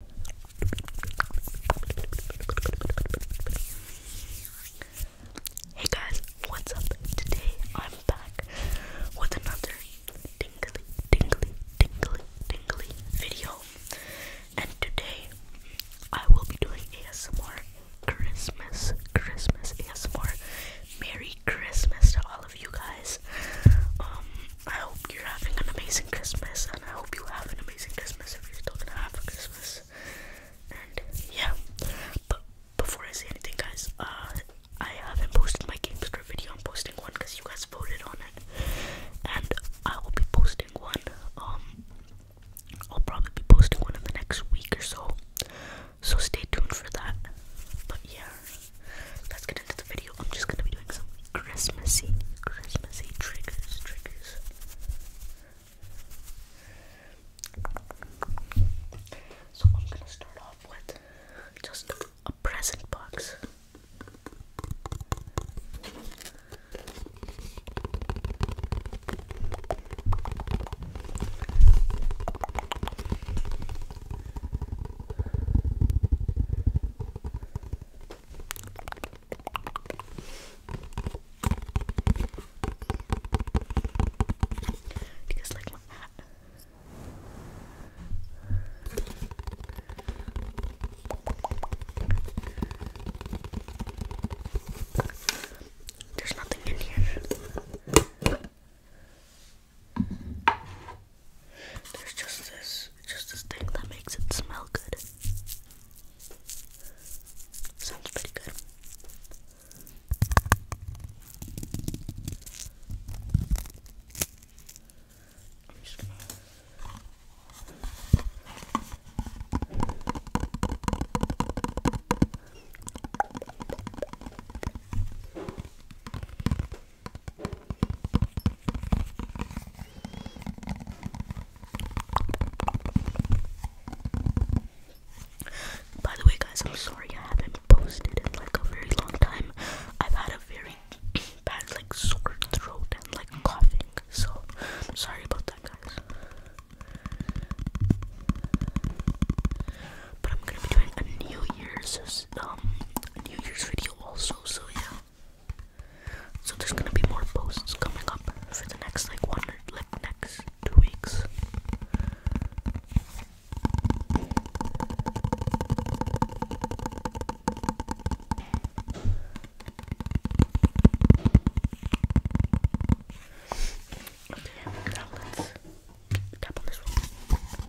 Hey guys, what's up? Today I'm back with another tingly, tingly, tingly, tingly video. And today I will be doing ASMR Christmas, Christmas ASMR. Merry Christmas to all of you guys. Um, I hope you're having an amazing Christmas, and I hope you have an amazing Christmas if you're still gonna have a Christmas. And yeah, but before I say anything, guys, uh, I haven't posted my GameStar video. I'm posting one because you guys voted on it, and I will be posting one. Um, I'll probably be posting one in the next week or so. So stay tuned for that. But yeah, let's get into the video. I'm just gonna be doing some Christmassy, Christmassy triggers. So I'm gonna start off with just a present box. Do you like There's nothing in here. There's just this, just this thing that makes it smell good. Sounds pretty good. By the way, guys, I'm sorry I haven't posted in like a very long time. I've had a very bad, like, sore throat and like coughing, so I'm sorry about that, guys. But I'm gonna be doing a New Year's um New Year's video also so yeah. So there's gonna be more posts coming up for the next like one like next two weeks. Okay, now let's tap on this one.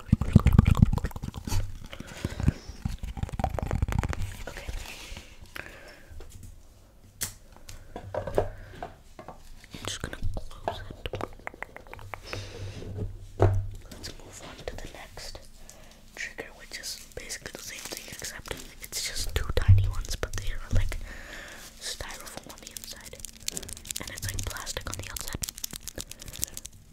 I'm just gonna close it. Let's move on to the next trigger, which is basically the same thing except it's just two tiny ones, but they are like styrofoam on the inside and it's like plastic on the outside.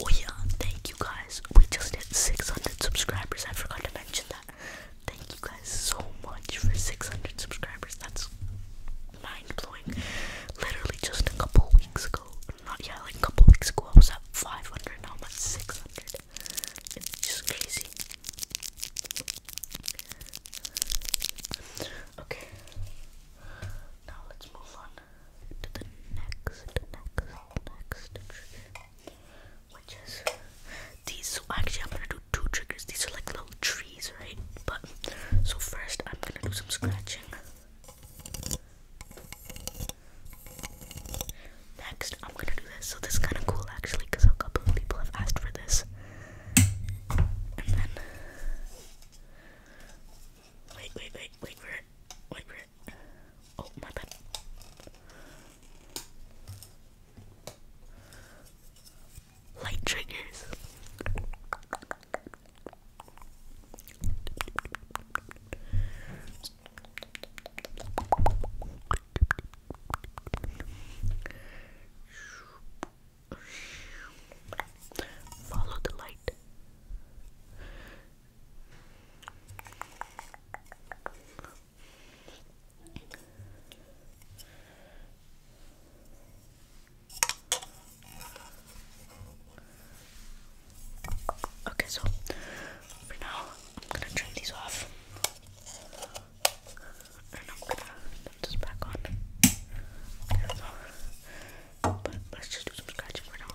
Oh yeah, thank you guys. We just hit 600 subscribers. I forgot to mention that. Thank you guys so much for 600 subscribers. That's mind blowing. Literally just a couple weeks ago. Not yeah, like a couple weeks ago I was at 500. Now I'm at 600. It's just crazy. Okay. Now let's move on to the next, next, next which is these. So actually, I'm gonna do two triggers. These are like little trees, right? But so first, I'm gonna do some scratching. Next, I'm gonna do this. So this is kind of cool, actually, because a couple of people have asked for this. Wait, wait, wait, wait for it. Wait for it. Oh, my bad. Light triggers. Follow the light. Okay, so for now, I'm gonna turn these off. And I'm gonna put this back on. Okay, so let's just do some scratching for now.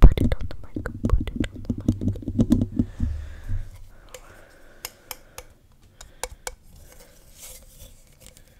put it on the mic, put it on the mic.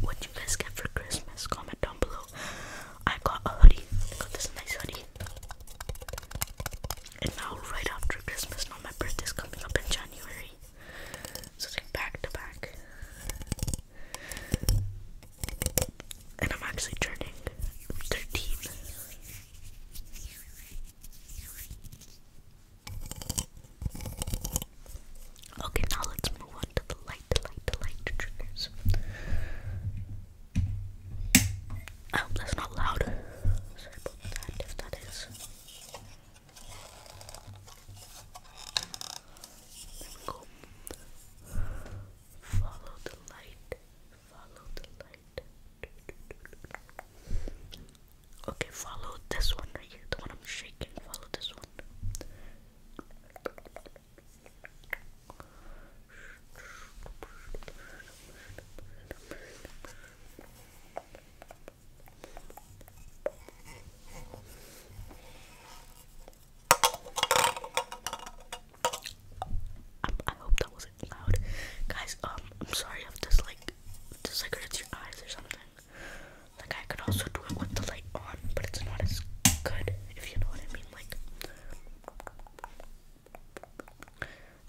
What you guys get for Christmas? Comment down below. I got a hoodie. I got this nice hoodie. And now, right after Christmas, now my birthday's coming up in January. So like back to back. And I'm actually turning 13. Okay, now let's move on to the light, light, light triggers. I oh, hope that's not loud. Sorry about that if that is. Follow the light. Follow the light. Okay, follow this one right here, the one I'm shaking. Follow this one. I, hope that wasn't loud, guys. Um, I'm sorry if this like, this like hurts your eyes or something. Like I could also do it with the light on, but it's not as good, if you know what I mean. Like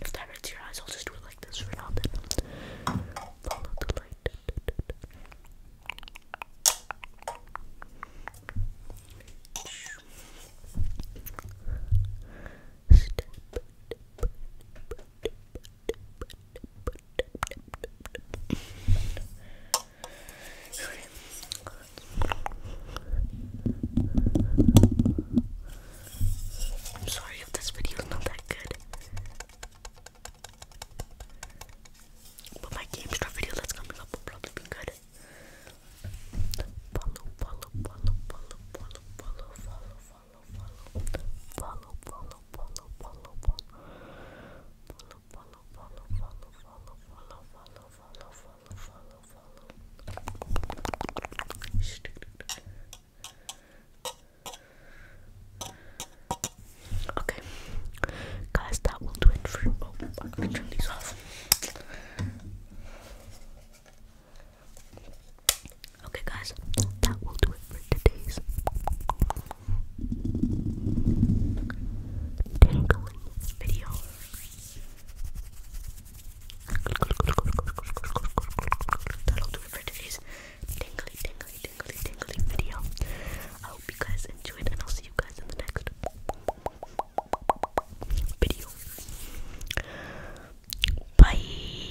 if that hurts your eyes, I'll just do it like this for now then. the light. I'm sorry if this video is not that good. But my GameStop video that's coming up will probably be good. Follow, follow, follow, follow, follow, follow, follow, follow. Okay, guys, that will do it for. Oh, I'm gonna turn these off. Okay, guys, that will do it for today's tingling video. That'll do it for today's tingly, tingly, tingly, tingly video. I hope you guys enjoyed, and I'll see you guys in the next video. Bye.